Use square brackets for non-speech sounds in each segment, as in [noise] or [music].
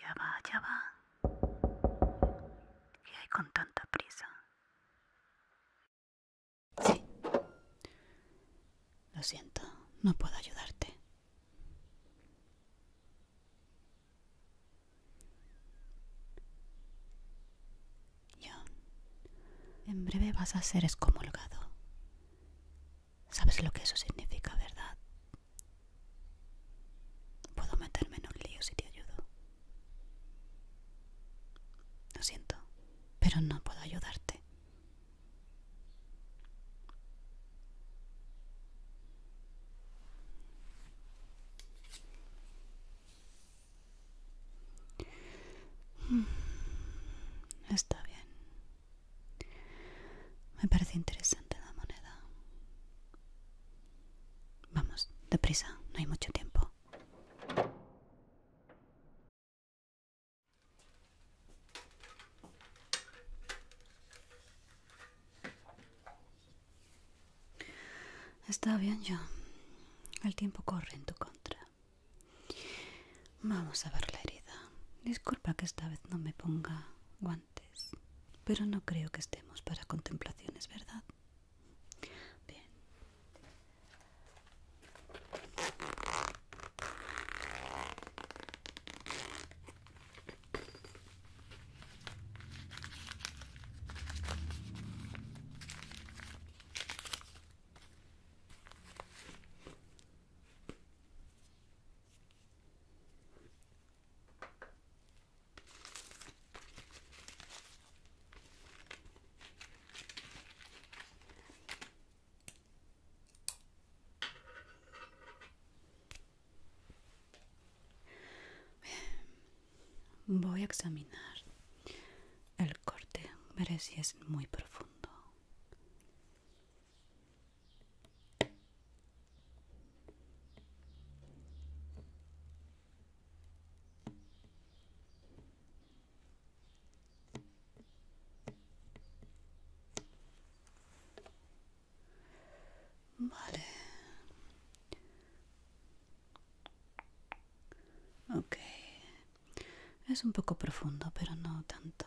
Ya va, ya va. ¿Qué hay con tanta prisa? Sí. Lo siento, no puedo ayudarte. Yo. en breve vas a ser excomulgado. Sabes lo que eso significa, ¿verdad? Puedo meterme en un lío si te ayudo. Lo siento, pero no puedo ayudarte. Mm, está bien. Me parece interesante la moneda. Vamos, deprisa, no hay mucho tiempo. Está bien, John. El tiempo corre en tu contra. Vamos a ver la herida. Disculpa que esta vez no me ponga guantes, pero no creo que estemos para contemplaciones, ¿verdad? Bien. Voy a examinar el corte, veré si es muy profundo. Vale. okay, Es un poco profundo, pero no tanto.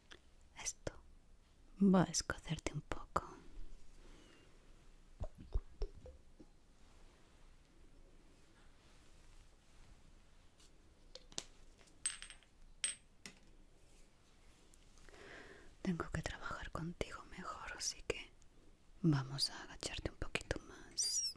Esto va a escocerte un poco. Tengo que trabajar contigo mejor, así que vamos a agacharte un poquito más.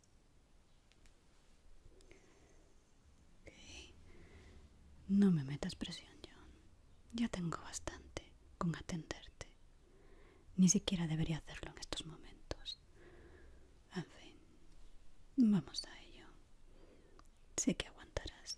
No me metas presión, John. Ya tengo bastante con atenderte. Ni siquiera debería hacerlo en estos momentos. En fin, vamos a ello. Sé que aguantarás.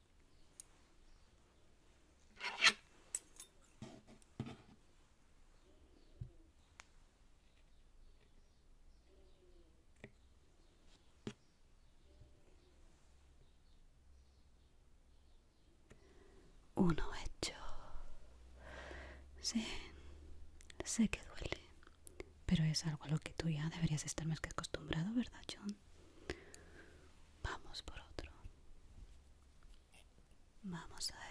Uno hecho. Sí, sé que duele. Pero es algo a lo que tú ya deberías estar más que acostumbrado, ¿verdad, John? Vamos por otro. Vamos a ello.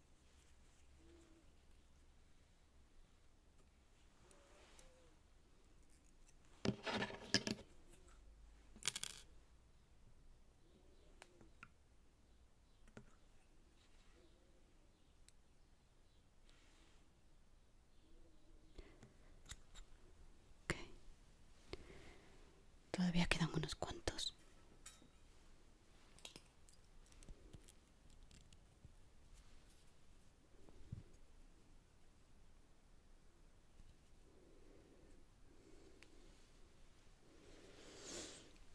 Todavía quedan unos cuantos.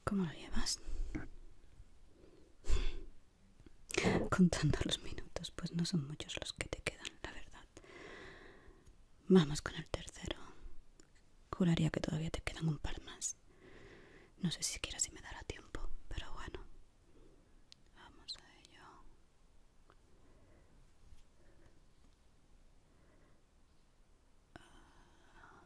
¿Cómo lo llevas? [laughs] Contando los minutos, pues no son muchos los que te quedan, la verdad. Vamos con el tercero. Juraría que todavía te quedan un par más. No sé si siquiera si me dará tiempo, pero bueno. Vamos a ello. Ah,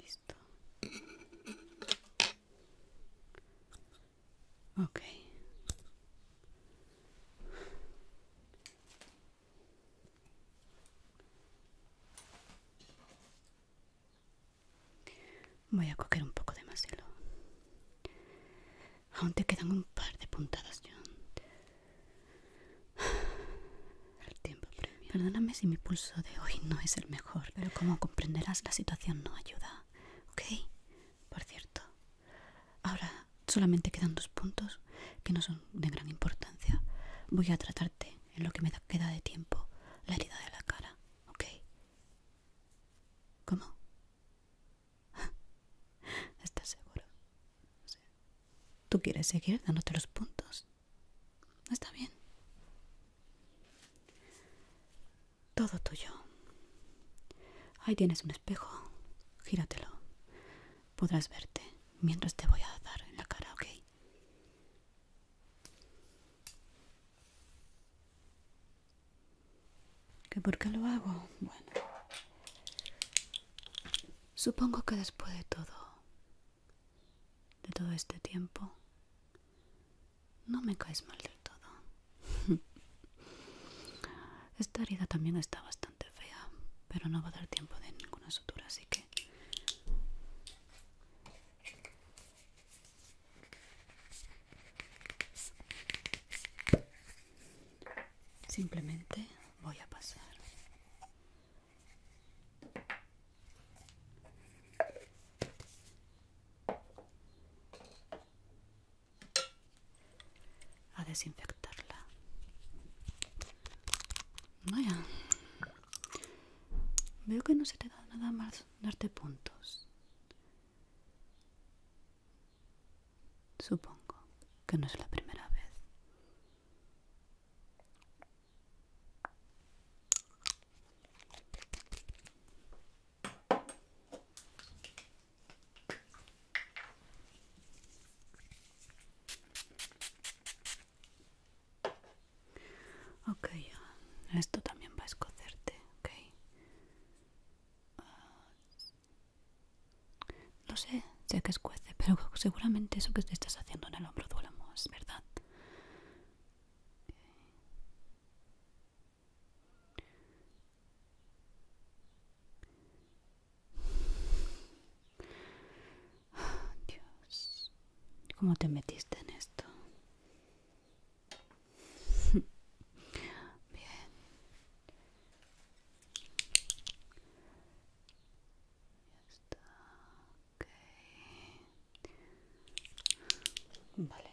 Listo. okay. Voy a coger un poco de más hilo. Aún te quedan un par de puntadas, John. El tiempo premio. Perdóname si mi pulso de hoy no es el mejor, pero como comprenderás, la situación no ayuda. ¿Ok? Por cierto, ahora solamente quedan dos puntos que no son de gran importancia. Voy a tratarte en lo que me queda de tiempo la herida de la cara, ¿ok? ¿Cómo? [laughs] ¿Estás seguro? ¿Tú quieres seguir dándote los puntos? Está bien. Todo tuyo. Ahí tienes un espejo. Gíratelo podrás verte mientras te voy a dar en la cara, ¿ok? ¿Que por qué lo hago? Bueno, supongo que después de todo, de todo este tiempo, no me caes mal del todo. [laughs] Esta herida también está bastante fea, pero no va a dar tiempo de ninguna sutura, así que Simplemente voy a pasar. a desinfectarla Veo que no se te da nada más darte puntos. Supongo que no es la primera vez. Okay, esto también va a escocerte, okay. Ah, no sé, sé que escuece, pero seguramente eso que te estás haciendo en el hombro duele más, ¿verdad? Dios, ¿cómo te metiste en esto? [laughs] Bien. Vale.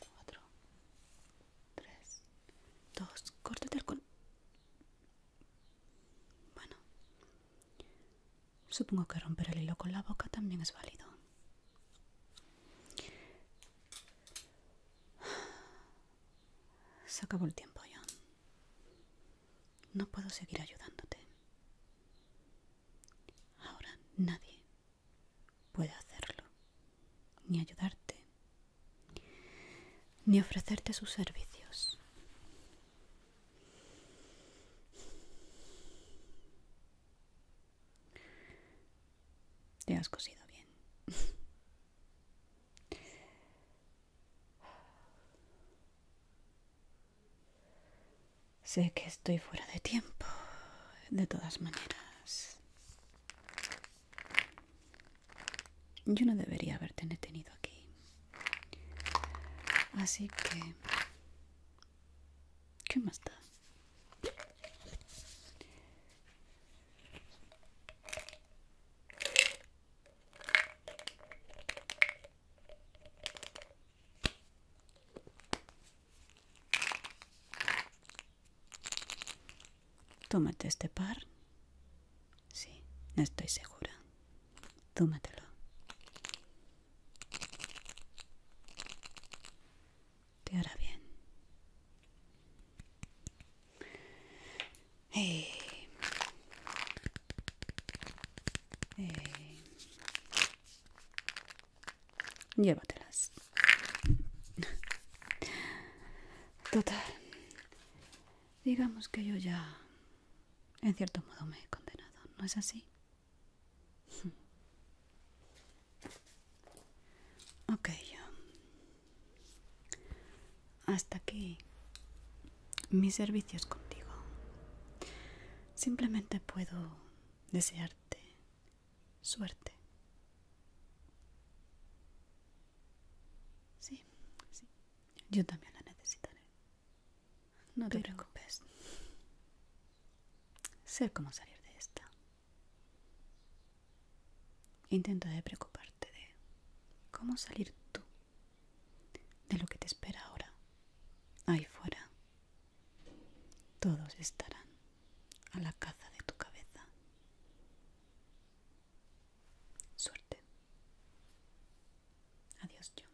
Cuatro. Tres. Dos. córtete el bueno, supongo que romper el hilo con la boca también es válido. Se acabó el tiempo, John. No puedo seguir ayudándote. Ahora nadie puede hacerlo, ni ayudarte, ni ofrecerte sus servicios. Te has cosido bien. sé que estoy fuera de tiempo, de todas maneras. Yo no debería haberte tenido aquí. Así que... ¿Qué más da? Tómate este par Sí, no estoy segura. Tómatelo. Te hará bien. Hey. Eh, eh. Llévatelas. Total. Digamos que yo ya en cierto modo me he condenado, ¿no es así? [laughs] ok. Hasta aquí mis servicios contigo. Simplemente puedo desearte suerte. Sí, sí. Yo también la necesitaré. No te preocupes. Sé cómo salir de esta. Intenta de preocuparte de cómo salir tú de lo que te espera ahora. Ahí fuera. Todos estarán a la caza de tu cabeza. Suerte. Adiós, yo.